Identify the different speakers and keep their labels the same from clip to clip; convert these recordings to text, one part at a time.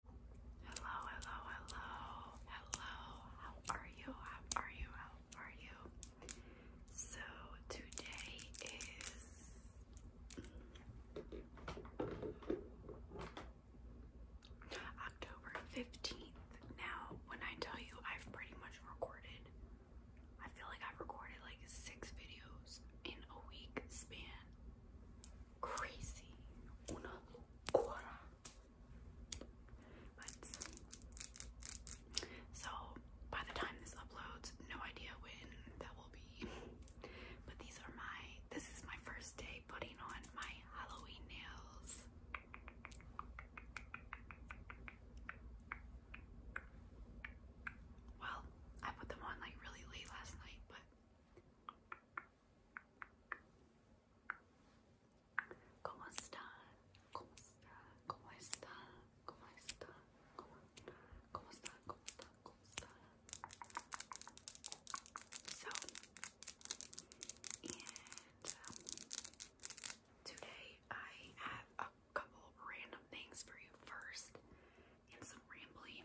Speaker 1: Hello, hello, hello, hello. How are you? How are you? How are you? So today is October 15th. Now, when I tell you I've pretty much recorded, I feel like I've recorded like six videos in a week span crazy. Una cuora. But so by the time this uploads, no idea when that will be. But these are my this is my first day putting on my Halloween nails. Well, I put them on like really late last night, but ¿Cómo está? ¿Cómo está? ¿Cómo está? ¿Cómo está? ¿Cómo está? ¿Cómo está? ¿Cómo está? ¿Cómo está? So, and um, today I have a couple random things for you first and some rambling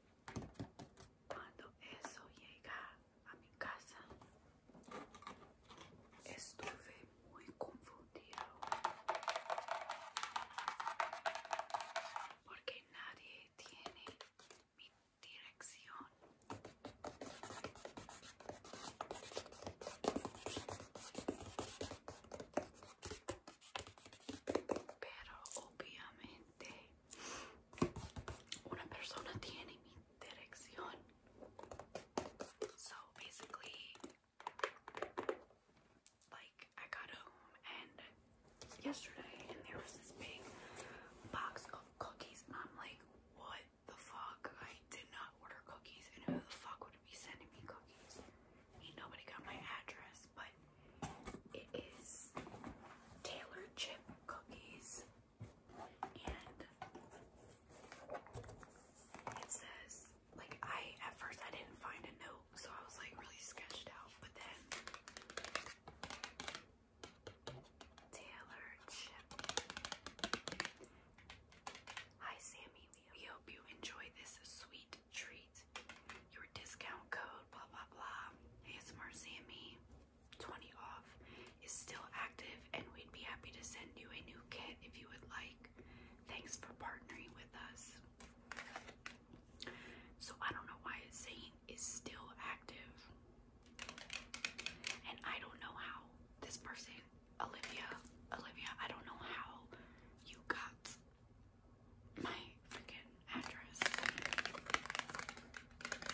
Speaker 1: Cuando eso llega a mi casa, estuve muy confundido porque nadie tiene mi dirección. Pero obviamente Una persona tiene mi dirección. So basically, like, I got home and yesterday, and there was this big box of cookies, and I'm like, what the fuck? I did not order cookies, and who the fuck would be sending me cookies? Ain't nobody got my address but it is Taylor chip cookies, and it says like I at first I didn't find a note, so I was like really sketched out, but then Taylor chip. Hi Sammy, we hope you enjoy this sweet treat your discount code, blah, blah, blah, ASMR CME, 20 off, is still active and we'd be happy to send you a new kit if you would like. Thanks for partnering with us. So I don't know why it's saying is still active. And I don't know how this person, Olivia, Olivia, I don't know how you got my freaking address.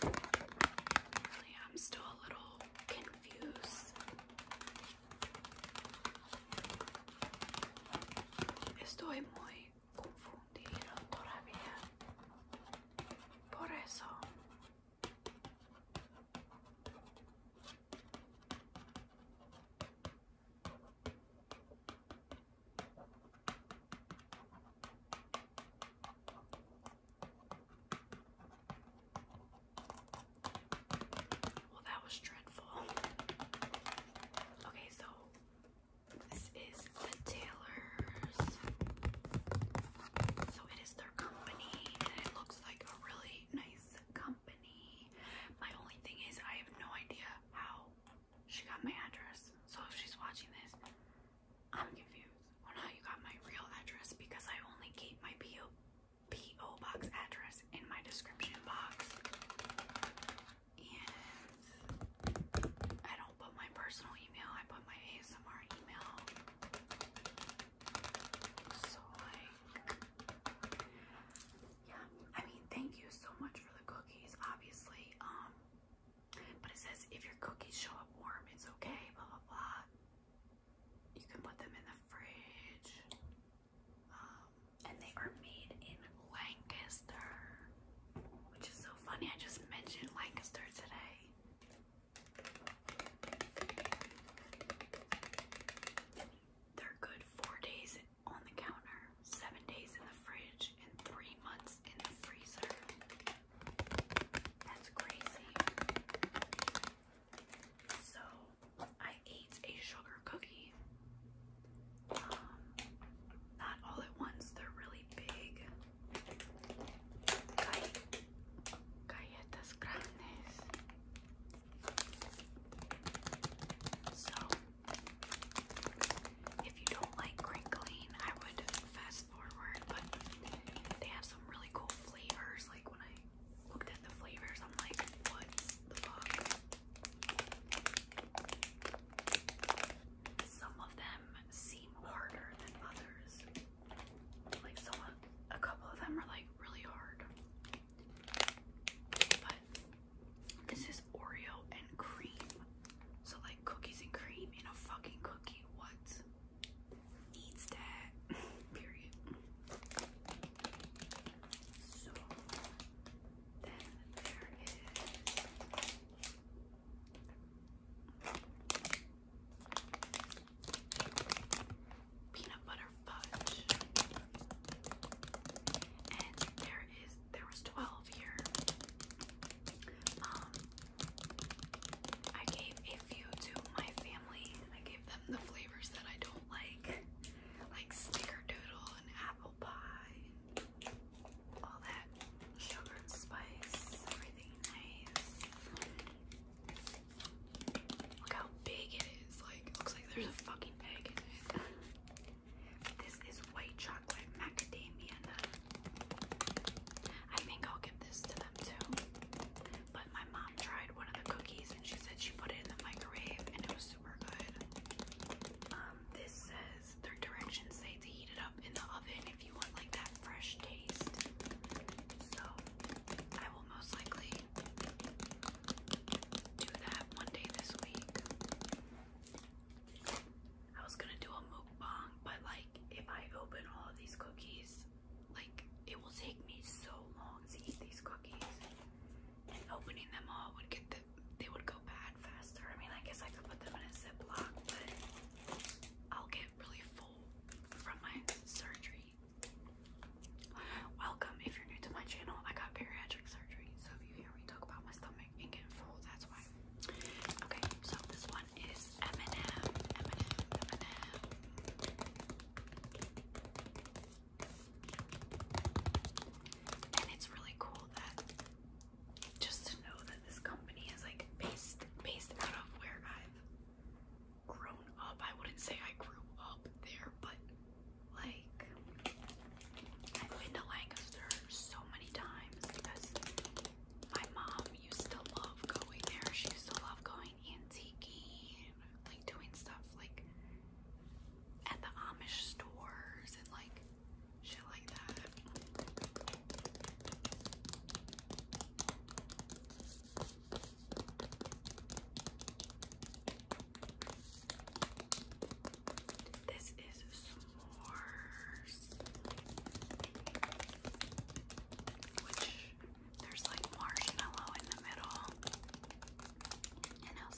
Speaker 1: Really, I'm still a little confused estoy muy confundido todavía por eso well, that was dreadful. Okay, so this is the Taylors. So it is their company, and it looks like a really nice company. My only thing is, I have no idea how she got my address. So if she's watching this, I'm confused on how you got my real address because I only keep my PO, box address in my description box. And I don't put my personal email, I put my ASMR email. So, like, yeah. I mean, thank you so much for the cookies, obviously. Um, but it says if your cookies show up warm, it's okay, blah, blah, blah. You can put them in the fridge. Um, and they are made in Lancaster, which is so funny. I just mentioned Lancaster today. They're good four days on the counter seven days in the fridge, and three months in the freezer. That's crazy. So, I ate a sugar cookie. Um, not all at once, they're really big. Galletas grandes. So, if you don't like crinkling, I would fast forward, but they have some really cool flavors. Like when I looked at the flavors, I'm like, what the fuck? Some of them seem harder than others. Like some a couple of them are like really hard. But this is is Oreo and cream. So like cookies and cream in a fucking cookie. What needs that? Period. So then there is peanut butter fudge. And there is there was 12 here. Um, I gave a few to my family. I gave them the flavors that I don't like, like snickerdoodle and apple pie, all that sugar spice, everything nice. Look how big it is. Like, looks like there's a fucking egg in it. This is white chocolate macadamia I think I'll give this to them too. But my mom tried one of the cookies and she said she put it in the microwave and it was super good. Um, this says their directions say to heat it up in the oven if you want like that fresh taste. So I will most likely do that one day this week. I was gonna do a mukbang, but like if I open all of these cookies, like it will take me so long to eat these cookies. And opening them all would get them they would go bad faster. I mean I guess I could put them in a ziplock, but I'll get really full from my surgery. Welcome if you're new to my channel. I got bariatric surgery, so if you hear me talk about my stomach and get full, that's why. Okay, so this one is M&M, and it's really cool that just to know that this company is like based based out of where I've grown up. I wouldn't say I grew up there, but like I've been to Lancaster so many times my mom used to love going there. She used to love going antiquing, like doing stuff like at the Amish stores and like shit like that. This is s'mores. Which there's like marshmallow in the middle. Then we got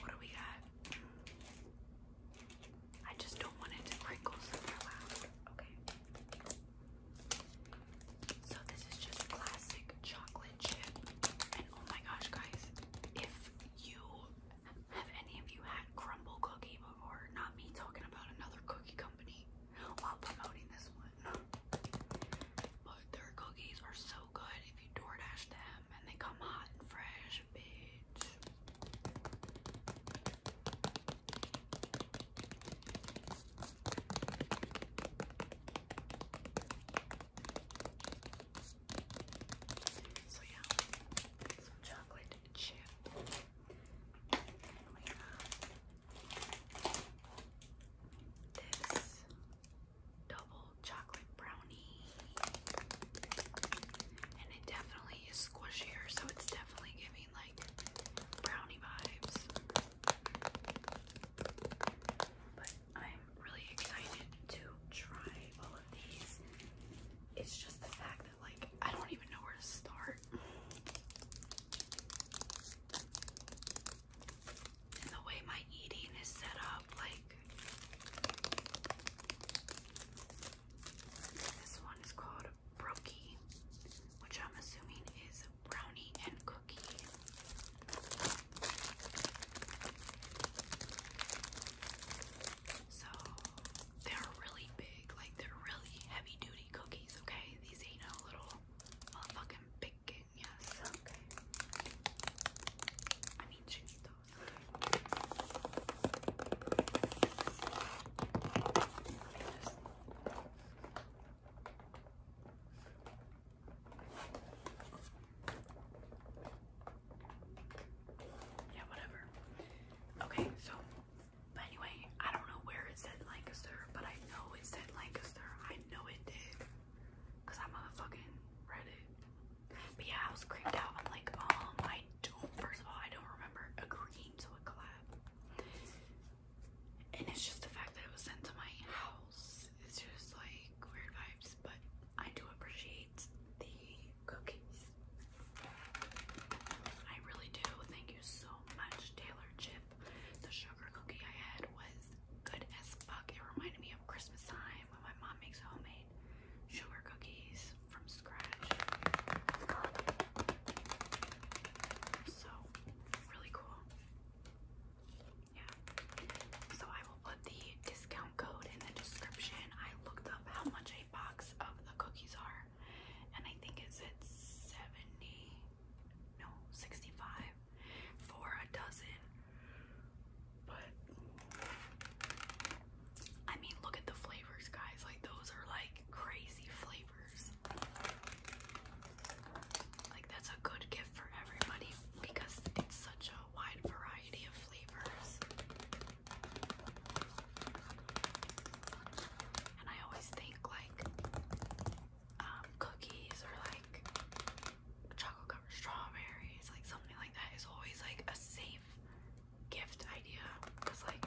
Speaker 1: what do we got? I just don't want it to crinkle super loud. Okay. So this is just classic chocolate chip. And oh my gosh, guys, if you have any of you had crumble cookie before, not me talking about another cookie company while promoting this one. But their cookies are so good if you door them and they come hot and fresh, bitch. So yeah, some chocolate chip. We have this double chocolate brownie, and it definitely is squishier, so it's definitely giving like brownie vibes. But I'm really excited to try all of these. It's just the fact that like I don't even know where to start. And the way my eating is set up, like this one is called brookie, which I'm assuming is brownie and cookie. So they're really big, like they're really heavy duty cookies, okay? These ain't no little motherfucking picking, yes. Okay. I mean chiquitos, okay. Let yeah, whatever. Okay, so, but anyway, I don't know where it said Lancaster, but I know it said Lancaster. I know it did. Because I motherfucking read it. But yeah, I was creeped out. I'm like, um, I don't, first of all, I don't remember agreeing to a collab. And it's just the fact that it was sent to my house. It's just like weird vibes, but I do appreciate the cookies. I really do. Thank you so much, Taylor Chip. The sugar cookie I had was good as fuck. It reminded me of Christmas time when my mom makes homemade sugar cookies from scratch. So, really cool. Yeah. So I will put the discount code in the description. I looked up how much a box of the cookies are, and I think it's at 70, no, 65 for a dozen. But I mean, look at the flavors, guys. Like those are like crazy flavors. Like that's a good gift for everybody because it's such a wide variety of flavors. And I always think like um, cookies or like chocolate covered strawberries, like something like that is always like a safe gift idea because like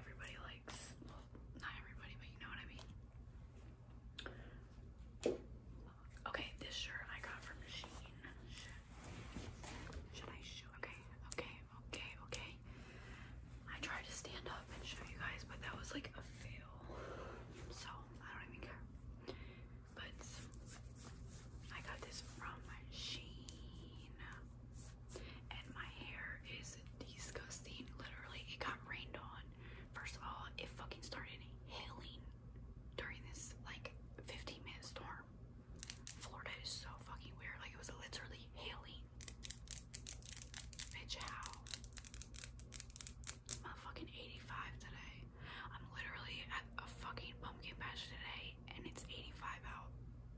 Speaker 1: everybody likes well not everybody but you know what I mean okay this shirt I got from Sheen should I show okay okay okay okay I tried to stand up and show you guys but that was like a fail so I don't even care but I got this from Sheen, and my hair is disgusting. Literally, it got rained on. First of all, it fucking started hailing during this like 15 minute storm. Florida is so fucking weird. Like it was literally hailing. Bitch, how? Motherfucking 85 today. I'm literally at a fucking pumpkin patch today and it's 85 out.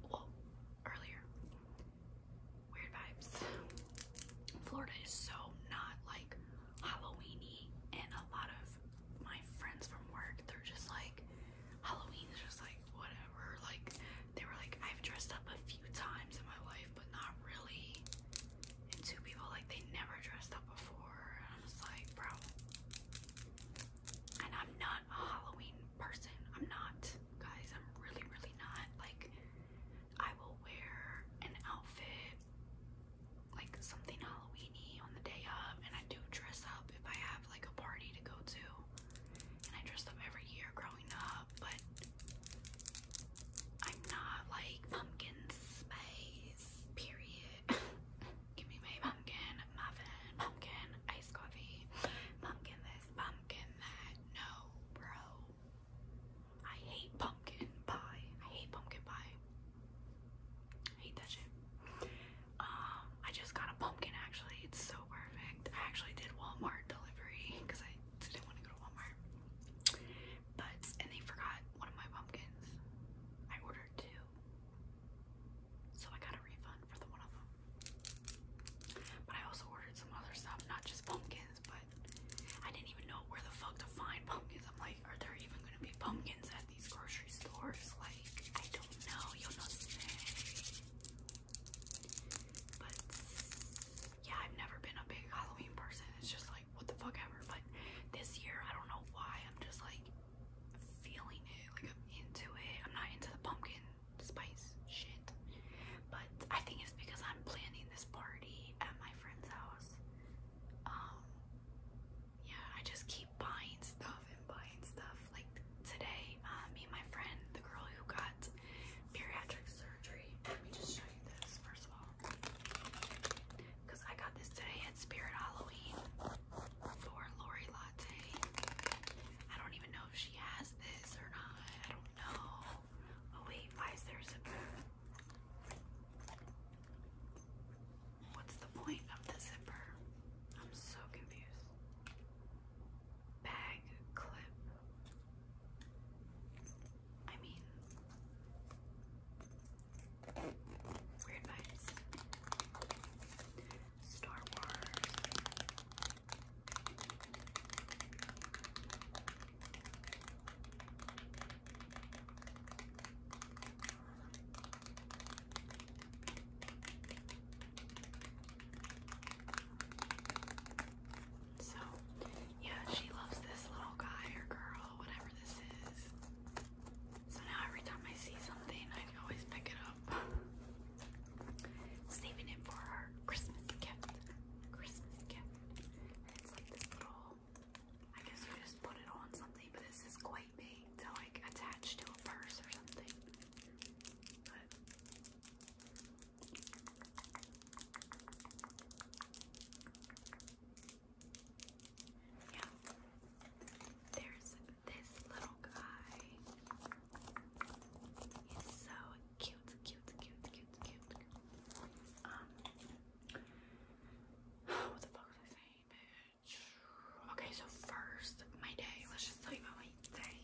Speaker 1: Well, earlier. Weird vibes. Florida is so not like Halloweeny and a lot of my friends from work, they're just like Halloween is just like whatever. Like they were like I've dressed up a few times in my life but not really and two people like they never dressed up before and I'm just like bro and I'm not a Halloween person. I'm not, guys. I'm really, really not. Like, I will wear an outfit, like something Halloweeny on the day of, and I do dress up if I have like a party to go to. And I dress up every year growing up, but I'm not like pumpkin spice, period. give me my pumpkin muffin, pumpkin iced coffee, pumpkin this, pumpkin that. No, bro. I hate pumpkin pie. I hate pumpkin pie. I hate that shit. Um, I just got a pumpkin actually. It's so perfect. I actually did Walmart delivery because I didn't want to go to Walmart. But and they forgot one of my pumpkins. I ordered two. So I got a refund for the one of them. But I also ordered some other stuff, not just pumpkins, but I didn't even know where the fuck to find pumpkins. I'm like, are there even gonna be pumpkins at these grocery stores? Like, I don't know. You'll know today. But yeah, I've never been a big Halloween person. It's just like, what the fuck ever. But this year, I don't know why. I'm just like, feeling it, like I'm into it. I'm not into the pumpkin spice shit, but I think it's because I'm planning this party at my friend's house. Um, yeah, I just keep buying stuff and buying stuff. Like today, uh, me and my friend, the girl who got bariatric surgery. Let me just show you this first of all because I got this today at Spirit Halloween for Lori Latte. I don't even know if she has this or not. I don't know. Oh wait, why is there a zipper? What's the point of the zipper? I'm so confused. Bag clip. I mean, Weird vibes. Star Wars. So, yeah, she loves this little guy or girl, whatever this is. So now every time I see something, I always pick it up. Saving it for our Christmas gift. Christmas gift. it's like this little, I guess you just put it on something, but this is quite big to like attach to a purse or something. Yeah. There's this little guy. He's so cute, cute, cute, cute, cute. Um. What the fuck was I saying, bitch? Okay, so first, my day. Let's just tell you my day.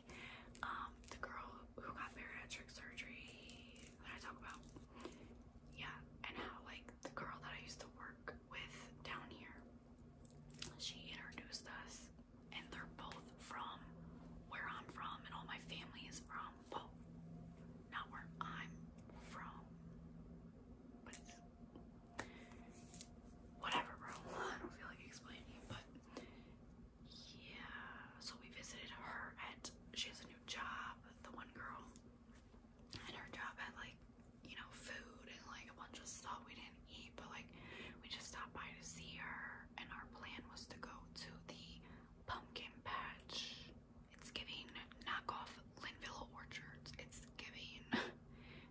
Speaker 1: Um, the girl who got bariatric surgery that I talk about. Yeah, and how like the girl that I used to work with down here she introduced us, and they're both from where I'm from, and all my family is from. Well, not where I'm from, but it's whatever, bro. I don't feel like explaining but yeah. So we visited her at. She has a new job. The one girl, and her job had like you know food and like a bunch of stuff we didn't eat but like we just stopped by to see her and our plan was to go to the pumpkin patch it's giving knockoff linville orchards it's giving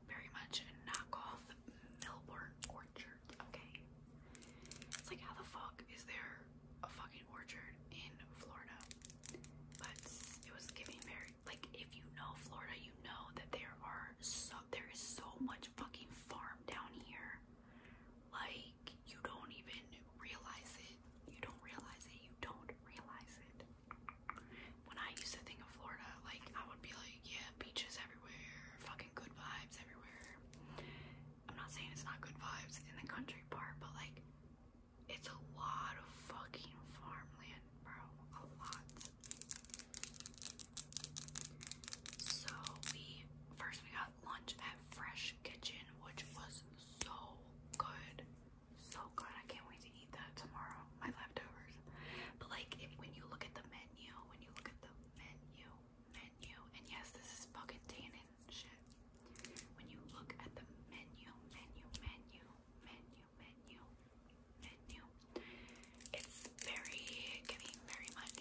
Speaker 1: very much knockoff millburn orchard okay it's like how the fuck is there a fucking orchard in Florida, but it was giving very like if you know Florida, you know that there are so there is so much fucking farm down here. Like you don't even realize it. You don't realize it. You don't realize it. When I used to think of Florida, like I would be like, yeah, beaches everywhere, fucking good vibes everywhere. I'm not saying it's not good vibes in the country part, but like it's a lot of fucking farmland, bro. A lot. So we first we got lunch at Fresh Kitchen, which was so good. So good. I can't wait to eat that tomorrow. My leftovers. But like when you look at the menu, when you look at the menu, menu, and yes, this is fucking tanning shit. When you look at the menu, menu, menu, menu, menu, it's very giving, very much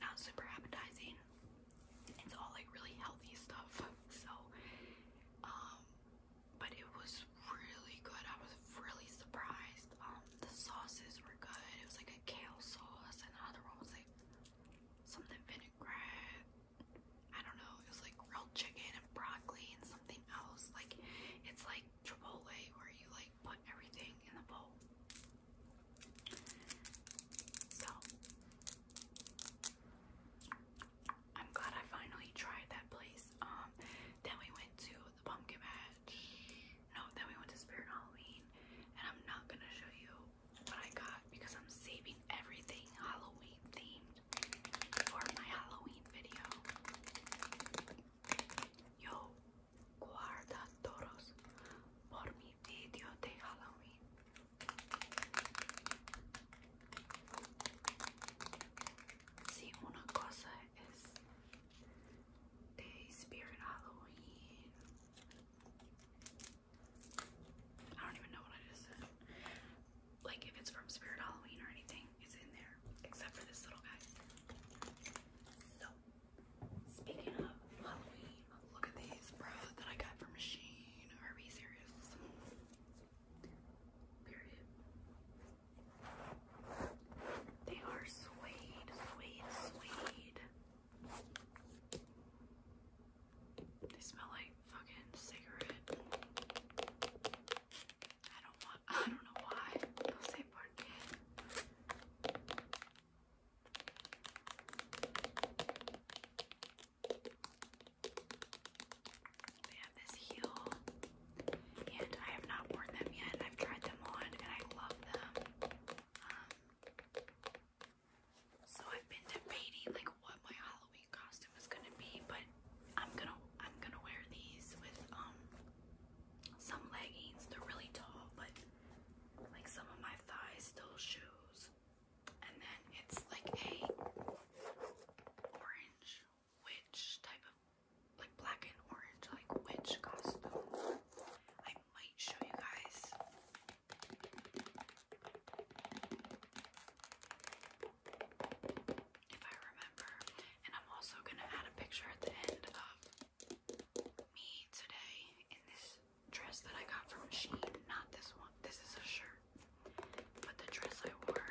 Speaker 1: not super appetizing. It's all like really healthy stuff. So, um, but it was really good. I was really surprised. Um, the sauces were good. It was like a kale sauce, and the other one was like something vinaigrette. I don't know, it was like grilled chicken and broccoli and something else. Like it's like Chipotle where you like put everything in the bowl. So I'm glad I finally tried that place. Um then we went to the pumpkin patch. No, then we went to Spirit Halloween and I'm not gonna show you what I got because I'm saving everything Halloween themed for my Halloween video. Yo, guarda todos por mi video de Halloween. Si una cosa es de spirit Halloween. I don't even know what I just said like if it's from Spirit Halloween or anything, it's in there, except for this little guy. So, speaking of Halloween, look at these, bro, that I got from Machine. Are we serious? Period. They are suede, suede, suede. They smell like fucking cigarette. I don't want, I don't know why, no sé por qué. They have this heel, and I have not worn them yet. I've tried them on, and I love them. Um, so I've been debating like what my Halloween costume is gonna be, but I'm gonna I'm gonna wear these with um some leggings. They're really tall, but like some of my thighs still shows. And then it's like a orange witch type of like black and orange like witch costume. I might show you guys if I remember. And I'm also going to add a picture at the end of me today in this dress that I got from Shein. Not this one, this is a shirt, but the dress I wore.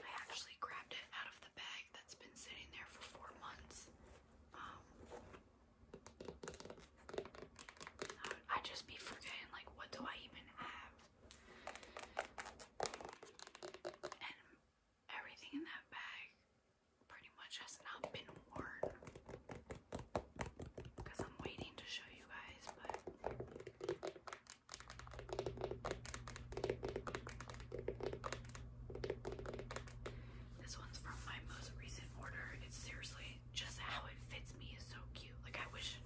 Speaker 1: I actually grabbed it out of the bag that's been sitting there for four months. Um, i just be forgetting, like, what do I even have? And everything in that bag pretty much has not been worn. Because I'm waiting to show you guys, but. This one's from my most recent order. It's seriously just how it fits me is so cute. Like I wish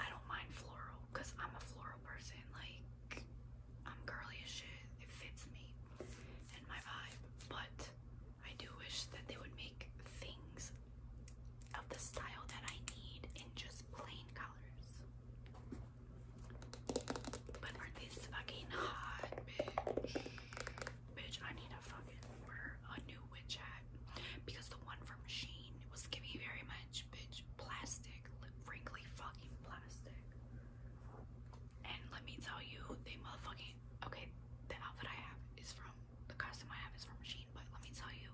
Speaker 1: I don't mind floral because I'm a floral person. Like I'm girly as shit. It fits me and my vibe. But I do wish that they would make things of the style that I need in just plain colors. But are these fucking hot, bitch? Bitch, I need to fucking order a new witch hat because the one from Sheen was giving me very much, bitch, plastic, frankly, fucking plastic. And let me tell you, they motherfucking okay. The outfit I have is from the costume I have is from Sheen, but let me tell you,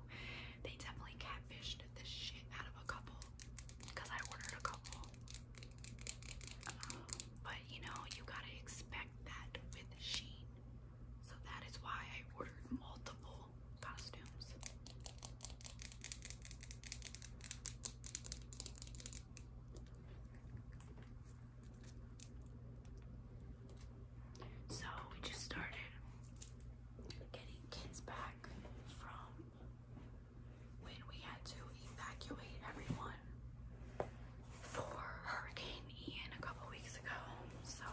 Speaker 1: they definitely catfished this shit out of a couple because I ordered a couple. but you know, you gotta expect that with Sheen. So that is why I ordered multiple costumes. So we just started getting kids back from when we had to evacuate everyone for Hurricane Ian a couple weeks ago. So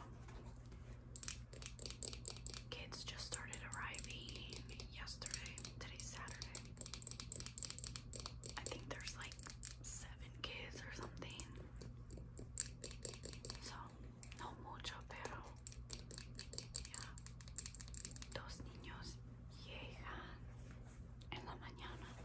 Speaker 1: kids just started arriving yesterday. Today's Saturday. I think there's like seven kids or something. So no mucho, pero yeah. Dos niños llegan en la mañana.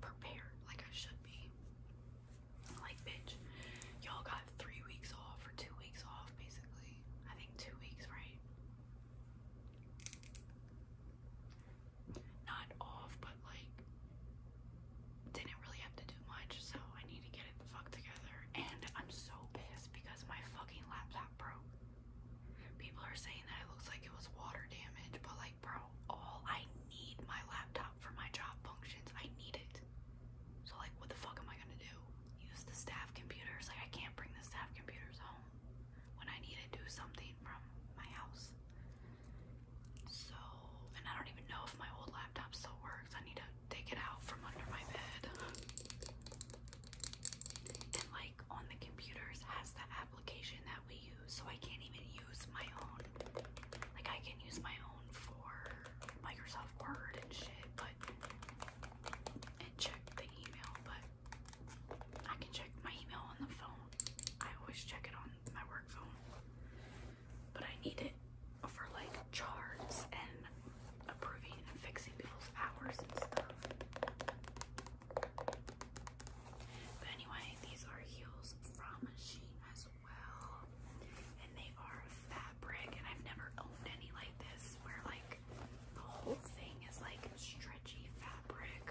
Speaker 1: prepared like I should be. Like, bitch, y'all got three weeks off or two weeks off, basically. I think two weeks, right? Not off, but like, didn't really have to do much, so I need to get it the fuck together. And I'm so pissed because my fucking laptop broke. People are saying that it looks like it was water damage, but like, bro, all I need my laptop for my job functions. I need it. So like, what the fuck am I gonna do? Use the staff computers? Like, I can't bring the staff computers home when I need to do something from my house. So, and I don't even know if my old laptop still works. I need to take it out from under my bed. And like on the computers has the application that we use, so I can't even use my own. Like, I can use my own for Microsoft Word and shit, but and check the email, but I can check my email on the phone. I always check it on my work phone, but I need it for like charts and approving and fixing people's hours and stuff. But anyway, these are heels from Shein as well. And they are fabric, and I've never owned any like this where like the whole thing is like stretchy fabric.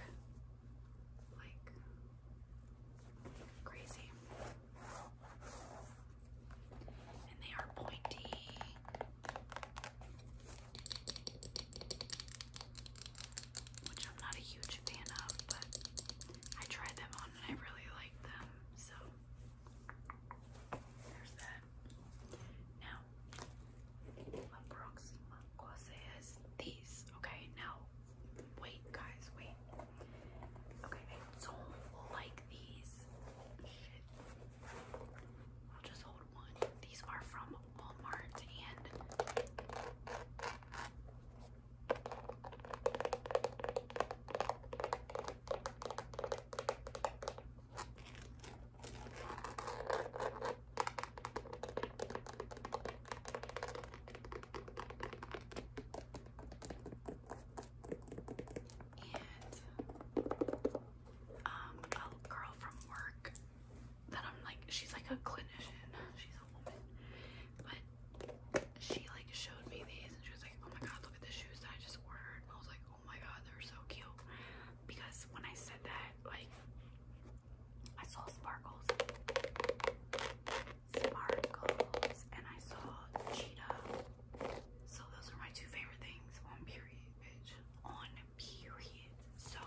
Speaker 1: Like crazy. And they are pointy which I'm not a huge fan of, but I tried them on and I really like them. So there's that. Now, próxima cosa these. Okay, now wait, guys, wait. Okay, I don't like these. I'll just hold one. These are from Walmart and and um, a girl from work that I'm like, she's like a clinician, she's a woman, but she like showed me these and she was like, oh my god, look at the shoes that I just ordered. And I was like, oh my god, they're so cute. Because when I said that, like, I saw sparkles, sparkles, and I saw cheetah. So those are my two favorite things on period, bitch. On period. So I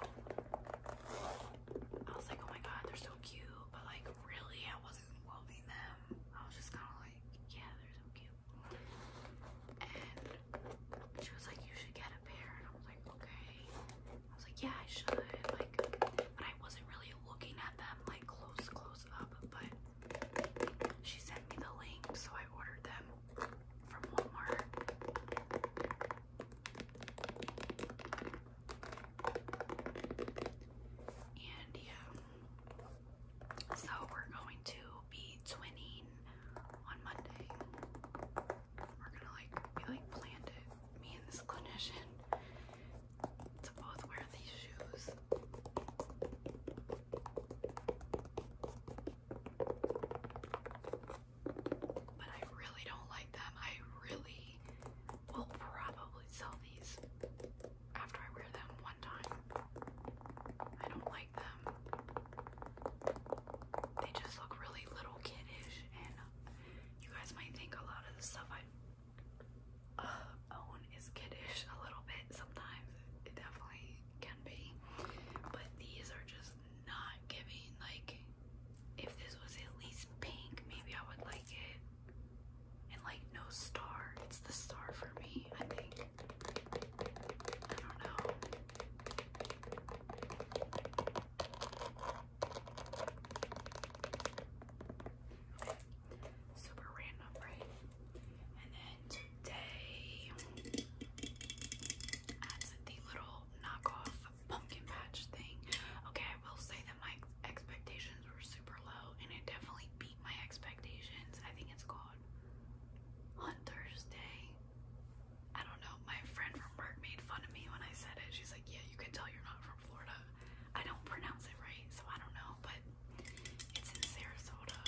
Speaker 1: was like, oh my god, they're so cute. But like, really, I wasn't loving them. I was just kind of like, yeah, they're so cute. And she was like, you should get a pair. And I was like, okay. I was like, yeah, I should. Like, but I wasn't really looking at them like close, close up. But she sent me the link, so I ordered them from Walmart. And yeah, so we're going to be twinning on Monday. We're gonna like, we like planned it, me and this clinician, to both wear these shoes. But I really don't like them. I really will probably sell these after I wear them one time. I don't like them. They just look really little kiddish, and you guys might think a lot of the stuff I uh, own is kiddish a little bit. Sometimes it definitely can be, but these are just not giving like if this was at least pink maybe I would like it and like no star it's the star for me I think I don't know super random right and then today I the little knockoff pumpkin patch thing. Okay, I will say that my expectations were super low and it definitely beat my expectations. I think it's called Hunter's Day. I don't know. My friend from work made fun of me when I said it. She's like, yeah, you can tell you're not from Florida. I don't pronounce it right, so I don't know, but it's in Sarasota.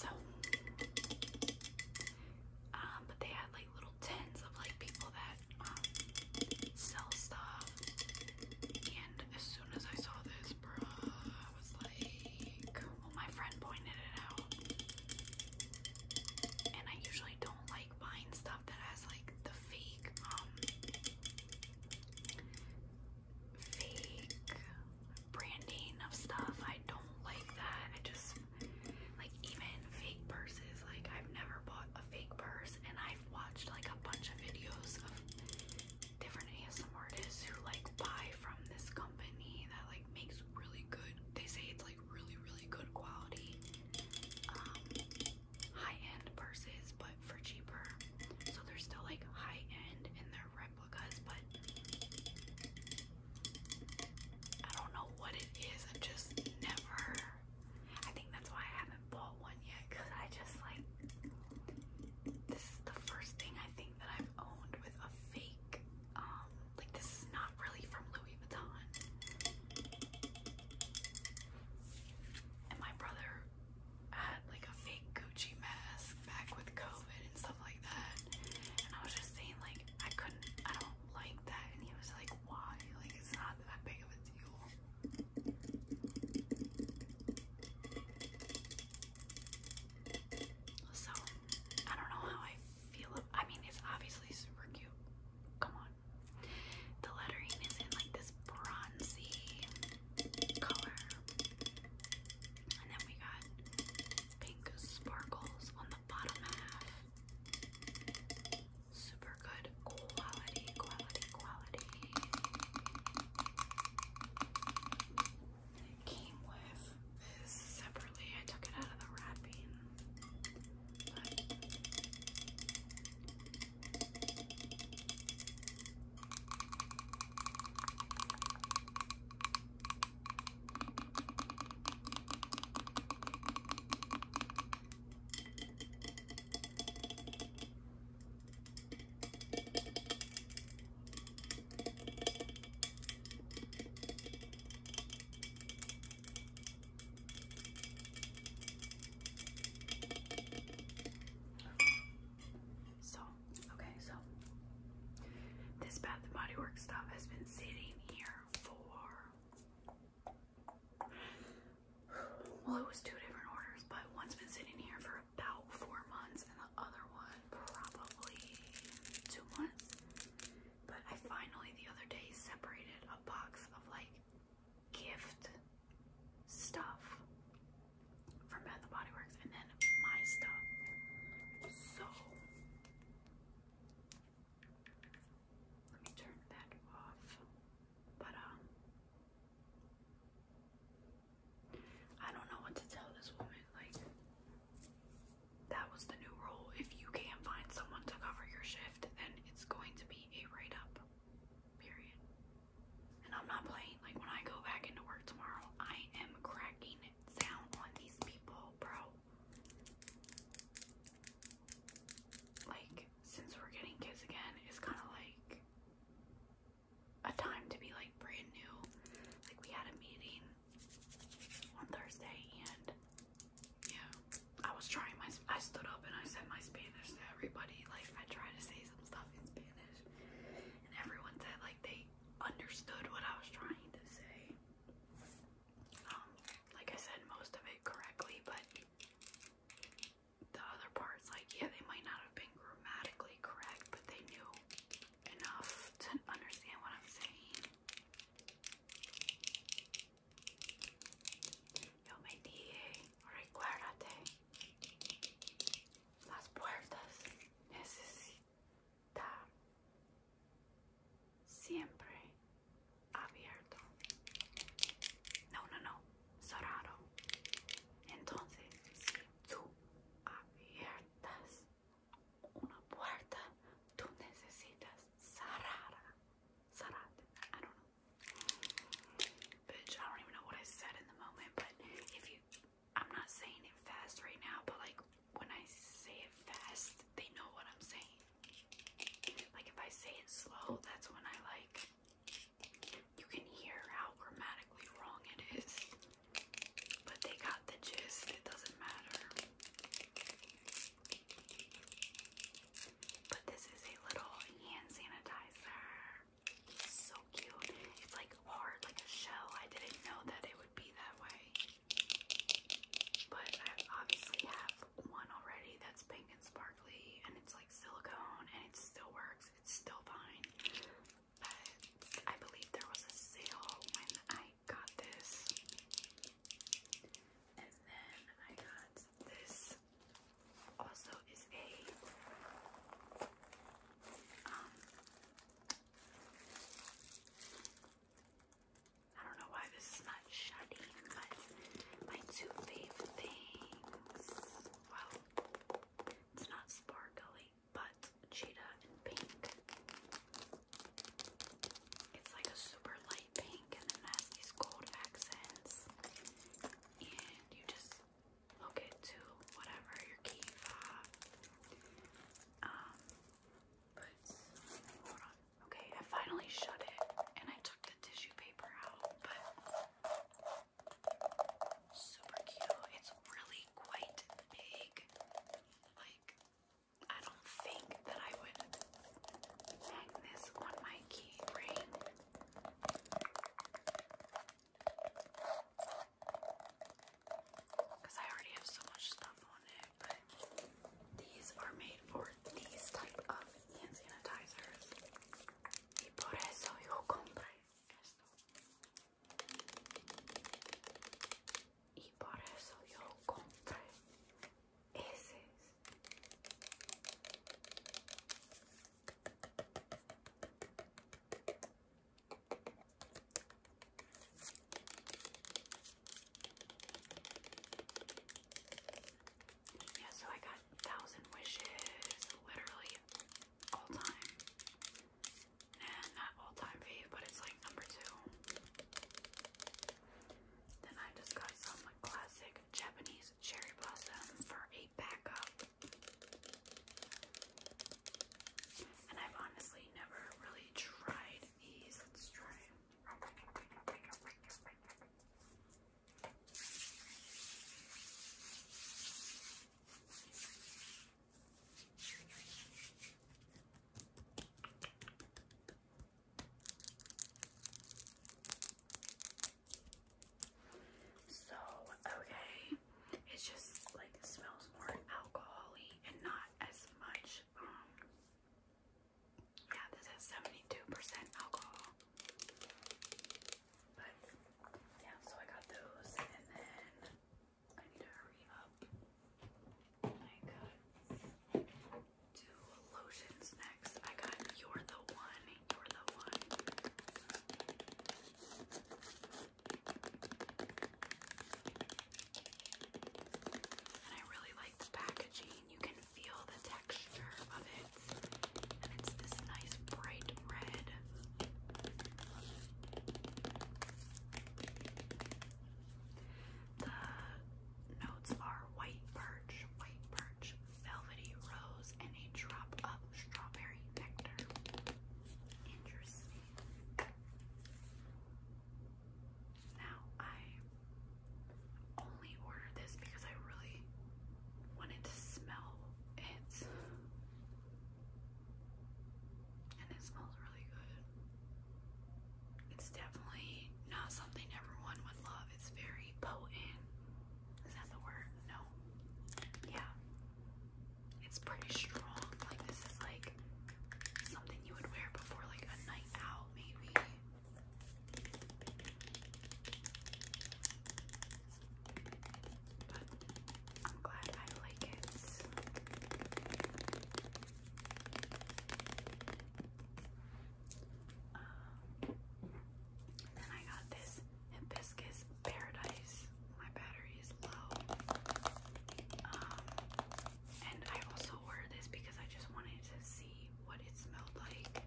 Speaker 1: So, um, but they had like little tins of like people that sell stuff. And as soon as I saw this, bro, I was like, well, my friend pointed it out. And I usually don't like buying stuff that has like the fake, um, fake branding of stuff. I don't like that. I just, like, even fake purses. Like, I've never bought a fake purse, and I I've watched like a bunch of videos of different ASM artists who like buy from this company that like makes really good. They say it's like really really good quality um, high-end purses, but for cheaper. So they're still like high-end and they're replicas, but I don't know what it is. I've just never I think that's why I haven't bought one yet because I just like this is the first thing I think that I've owned with a fake um, like this is not really from Louis Vuitton. And my brother had like a fake Gucci mask back with COVID and stuff like that. And I was just saying like I couldn't I don't like that and he was like why? Like it's not that big of a deal. So, I don't know how I feel. I mean, it's obviously super cute. Come on. The lettering is in like this bronzy color. And then we got pink sparkles on the bottom half. Super good quality, quality, quality. came with this separately. I took it out of the wrapping. So, okay, so this Bath and Body Works stuff has been sitting here for well, it was two different orders, but one's been sitting here for about four months, and the other one probably two months. But I finally the other day separated a box of like gift stuff from Bath and Body Works, and then my stuff. So let me turn that off. But um, I don't know what to tell this woman. Like, that was the new rule. If you can't find someone to cover your shift, then it's going to be a write up. Period. And I'm not playing. Like, when I go back into work tomorrow, I am cracking down on these people, bro. Like, since we're getting kids again, it's kind of like a time to be like brand new. Like we had a meeting on Thursday and yeah, I was trying my I stood up and I said my Spanish to everybody. Like I tried to say some stuff in Spanish and everyone said like they understood what I was trying to say. Um like I said most of it correctly, but the other parts, like, yeah, they might not have been grammatically correct, but they knew enough to understand what I'm saying. Yo me dije, recuérdate, las puertas necesitan siempre abierto. No, no, no. Soraro. Entonces, si tú abiertas una puerta, tú necesitas cerrar. Sarate. I don't know. Bitch, I don't even know what I said in the moment, but if you, I'm not saying it fast right now, but like when I say it fast, they know what I'm saying. Like if I say it slow, that's when I like you can hear how grammatically wrong it is, but they got the gist, it doesn't matter. But this is a little hand sanitizer. So cute. It's like hard, like a shell. I didn't know that it would be that way. But I obviously have one already that's pink and sparkly and it's like silicone and it still works it's still fine. But I believe there was a sale when I got this. And then I got this. Also is a um I don't know why this is not shutting, but my two favorite things. It's not sparkly, but cheetah and pink. It's like a super light pink and then has these gold accents. And you just hook it to whatever your key fob. Um, but hold on. Okay, I finally shut it and I took the tissue paper out, but Super cute. It's really quite big. Like, I don't think that I would hang this on my key ring. Because I already have so much stuff on it, but these are made for these type of hand sanitizers. Y por eso yo compré esto. Y por eso yo compré ese. Yeah, so I got thousand wishes literally all time. And all time fave, but it's like number two. Then I just got some classic Japanese cherry blossom for a backup. And I've honestly never really tried these. Let's try. So, okay, it just like smells more alcoholic and not as much. Um, yeah, this has 72% alcohol. But yeah, so I got those and then I need to hurry up. I got two lotions next. I got You're the One, You're the One. And I really like the packaging. You can feel the texture of it else. And it's this nice bright red. The notes are white birch, white birch, velvety rose, and a drop of strawberry nectar. Interesting. Now, I only ordered this because I really wanted to smell it's and it smells really good. It's definitely not something everyone would love. It's very potent. Is that the word? No. Yeah. It's pretty strong. Like this is like something you would wear before like a night out maybe. I'm glad I like it. Um, then I got this hibiscus paradise. My battery is low. Um, and I also wore this because I just wanted to see what it smelled like.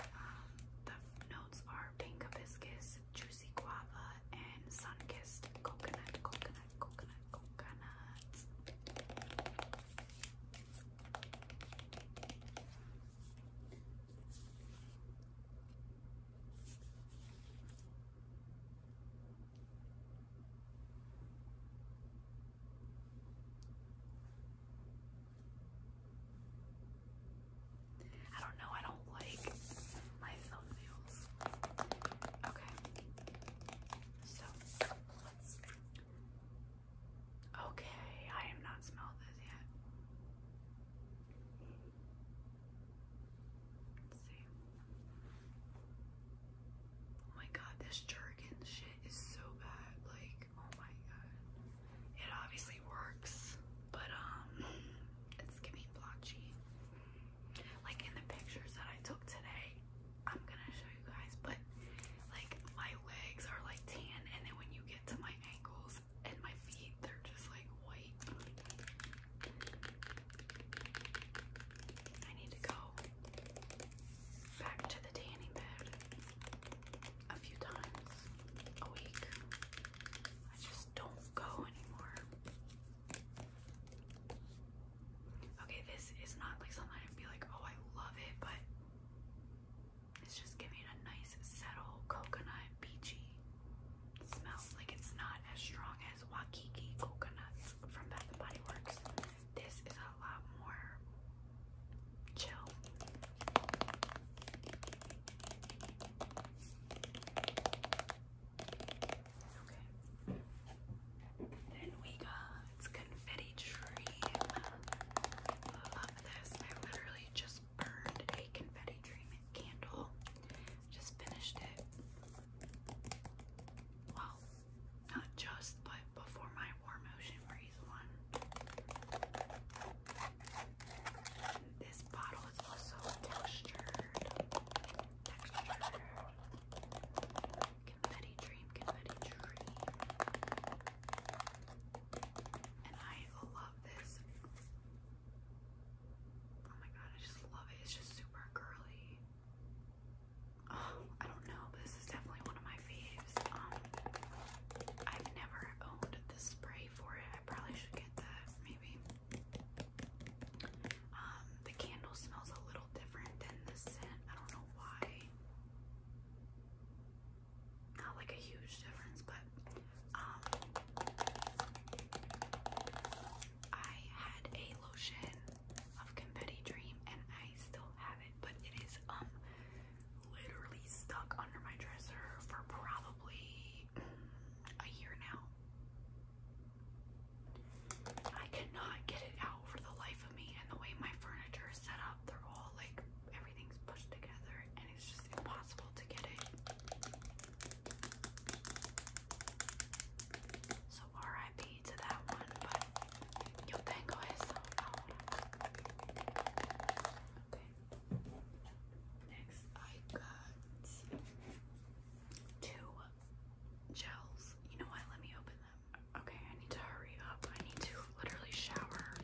Speaker 1: Um, the notes are pink hibiscus, juicy guava, and sun-kissed coconut, coconut, coconut, coconut. I don't know, I don't like my thumbnails. Okay. So Okay, I have not smelled this yet. Let's see. Oh my god, this jerkin shit is so bad. Like, oh my god. It obviously works but um, it's getting blotchy. Like in the pictures that I took today, I'm gonna show you guys, but like my legs are like tan, and then when you get to my ankles and my feet, they're just like white. I need to go back to the tanning bed a few times a week. I just don't go anymore. Okay, this is not like something I'd be like, oh, I love it, but it's just giving a nice, subtle coconut, peachy smell. Like it's not as strong as Waikiki coconuts from Bath and Body Works. This is a lot more chill. Okay. Then we got confetti dream. love this. I literally just burned a confetti tree candle. Just finished it. Well, not just, but before my warm ocean breeze one. This bottle is also textured. Textured. Confetti dream, confetti dream. And I love this. Oh my god, I just love it. It's just super girly. Oh, I don't know, but this is definitely one of my faves. Um, I've never owned this spray for it. I probably should get that maybe. Um, the candle smells a little different than the scent. I don't know why. Not like a huge difference, but um, I had a lotion of confetti dream and I still have it, but it is um literally stuck under my dresser for probably a year now. I cannot get it out for the life of me, and the way my furniture is set up, they're all like everything's pushed together, and it's just impossible to get it. So RIP to that one, but yo tengo eso ahora. Okay. Next, I got two gels. You know what? Let me open them. Okay, I need to hurry up. I need to literally shower,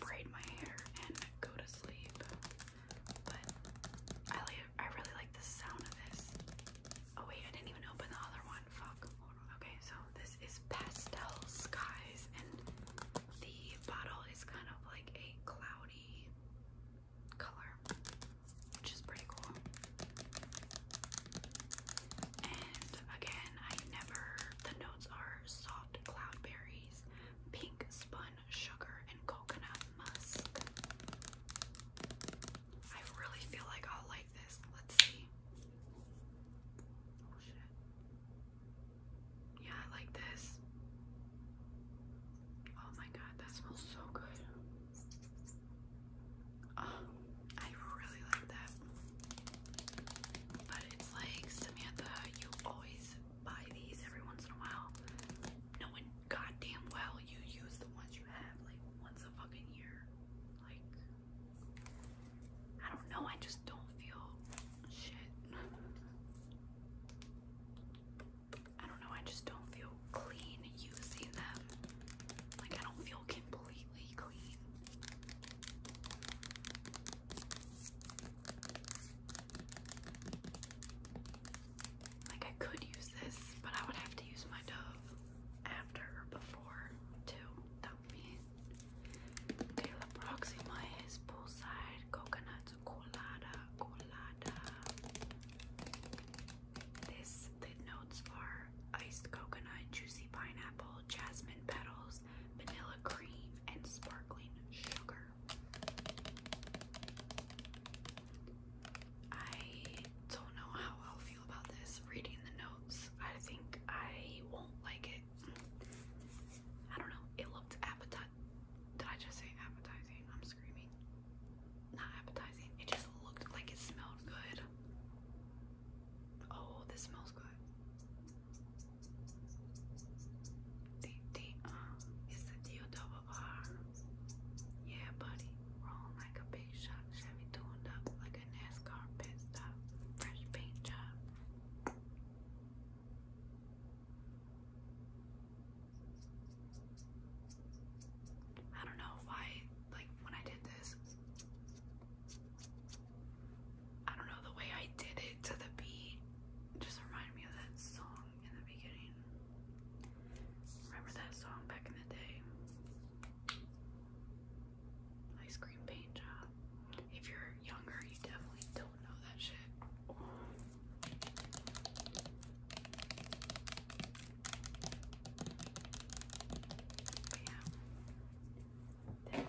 Speaker 1: braid my hair, and go to sleep. But I like. I really like the sound of this. Oh wait, I didn't even open the other one. Fuck. Okay, so this is pastel skies, and the bottle is kind of like a cloudy color, which is pretty cool. And again, I never, the notes are soft cloudberries, pink spun sugar, and coconut musk. I really feel like I'll like this. Let's see. Oh, yeah, I like this. Oh my god, that smells so good. Oh, I really like that. But it's like, Samantha, you always buy these every once in a while. Knowing goddamn well you use the ones you have like once a fucking year. Like, I don't know, I just don't feel shit. I don't know, I just don't feel clean using them. Like, I don't feel completely clean. Like, I could use this, but I would have to use my Dove after or before, too. That would be. Caleb Proxima is poolside coconut colada colada. This the notes are iced coconut, juicy pineapple, jasmine petals, vanilla cream, and sparkling sugar. I don't know how I'll feel about this reading the notes. I think I won't like it. I don't know. It looked appetizing did I just say appetizing? I'm screaming. Not appetizing. It just looked like it smelled good. Oh, this smells good. Uh, the the is the deal Yeah, buddy. Rolling like a big shot. Chevy tuned up like a NASCAR pit stop. Fresh paint job. I don't know why, like, when I did this, I don't know, the way I did it to the beat just reminded me of that song in the beginning. Remember that song back in the day? Ice cream paint job. If you're younger, you definitely don't know that shit yeah. Then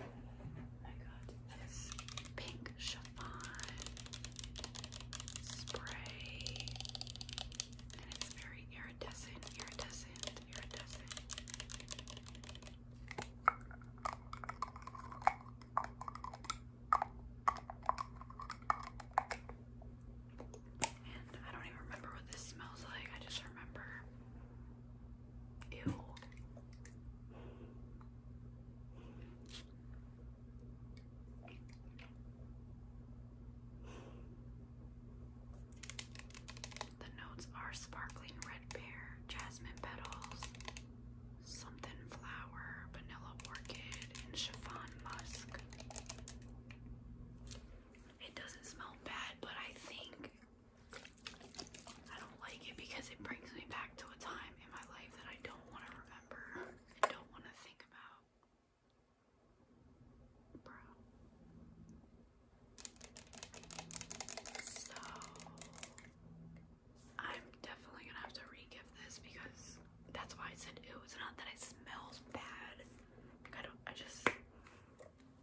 Speaker 1: I got this pink chiffon spray. And it's very iridescent, iridescent, iridescent. And I don't even remember what this smells like. I just remember. Ew. The notes are sparkling red pear, jasmine petals, something flower, vanilla orchid, and chiffon musk. It doesn't smell bad, but I think I don't like it because it brings me back to a time in my life that I don't want to remember don't want to think about. Bro. I'm definitely gonna have to re-give this because that's why I said ew. It's not that it smells bad. I don't. I just.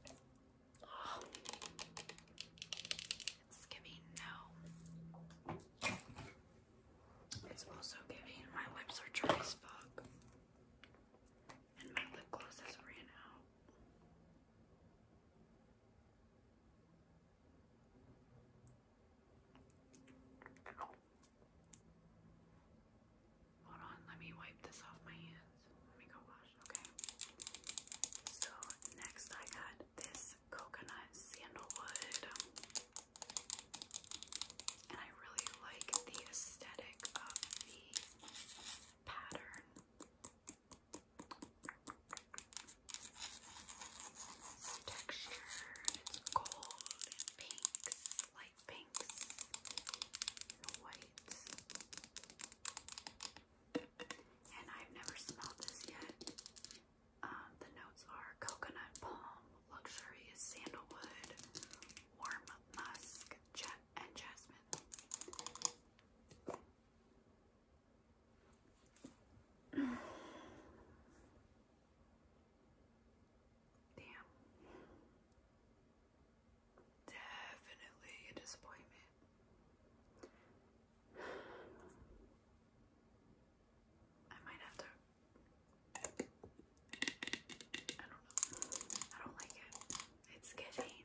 Speaker 1: It's giving no. It's also giving my lips are dry as fuck. And my lip gloss ran out. Hold on, let me wipe this off my hands. Let me go wash, okay? So, next I got this coconut sandalwood. And I really like the aesthetic of the pattern. It's textured, it's gold and pinks, light pinks, whites. And I've never smelled this yet. the notes are coconut palm, luxurious sandalwood, warm musk, jet, and jasmine. Damn. Definitely a disappointment. I might have to. I don't know. I don't like it. It's getting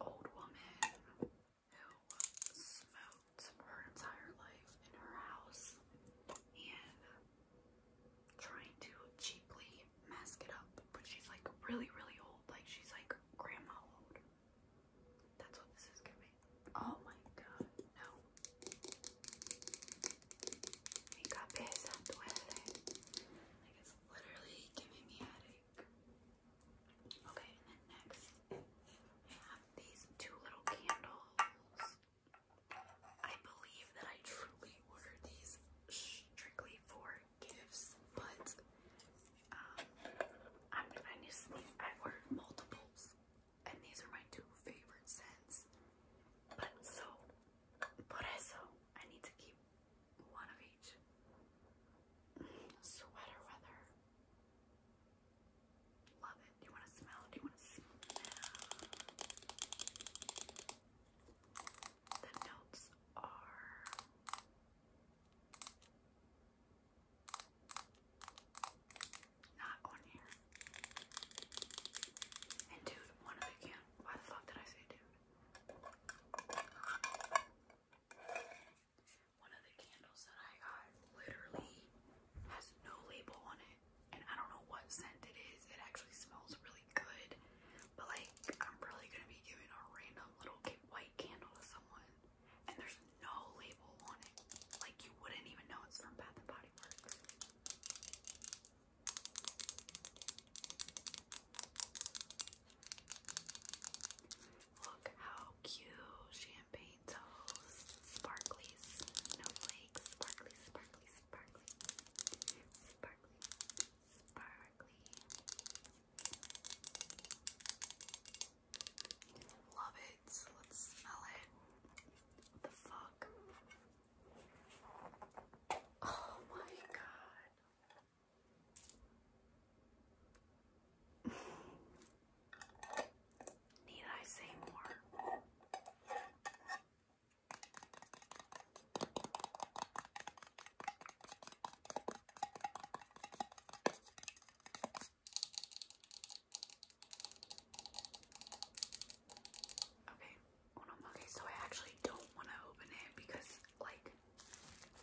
Speaker 1: old woman who smoked her entire life in her house and trying to cheaply mask it up. But she's like really, really old. Like she's like grandma old. That's what this is giving. Oh my god, no. Mi cabeza duele. Like it's literally giving me headache. Okay, and then next I have these two little candles. I believe that I truly ordered these strictly for gifts, but um, I'm, I need to sneak. I ordered multiples, and these are my two favorite scents. But so, por eso, I need to keep one of each. Mm, sweater weather. Love it. Do you want to smell? Do you want to smell the notes are not on here. And dude, one of why the fuck did I say dude? One of the candles that I got literally has no label on it, and I don't know what scent it is. It actually smells really good, but like I'm probably gonna be giving a random little white candle to someone, and there's no label on it. Like you wouldn't even know it's from Bath and Body Works. Look how cute champagne toes, sparklies, snowflakes, sparkly, sparkly, sparkly, sparkly, sparkly. Love it. Let's smell it. the fuck? Oh my god. Need I say more? Okay, okay, so I actually don't want to open it because, like,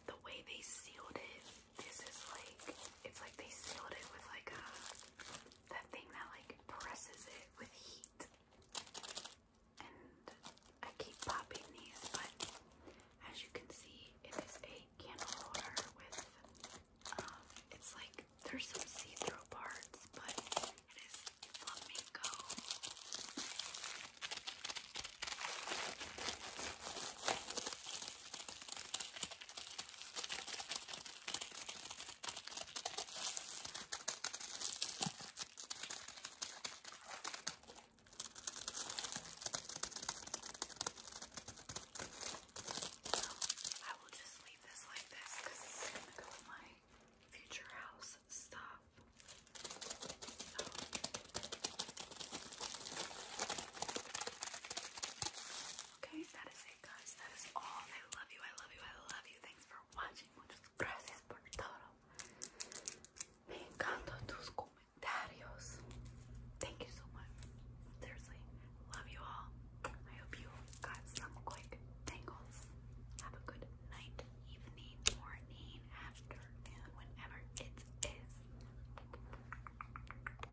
Speaker 1: the way they sealed it this is like, it's like they sealed it with like a, uh, that thing that like presses it with heat. And I keep popping these, but as you can see, it is a candle holder with, um, it's like, there's some see-through parts, but it is flamingo. I will just leave this like this because it's gonna go in my future house stuff. So. Okay, that is it, guys. That is all. I love you. I love you. I love you. Thanks for watching. Muchas gracias por Me encantan tus comentarios. Thank you so much. Seriously, love you all. I hope you got some quick tangles. Have a good night, evening, morning, afternoon, whenever it is.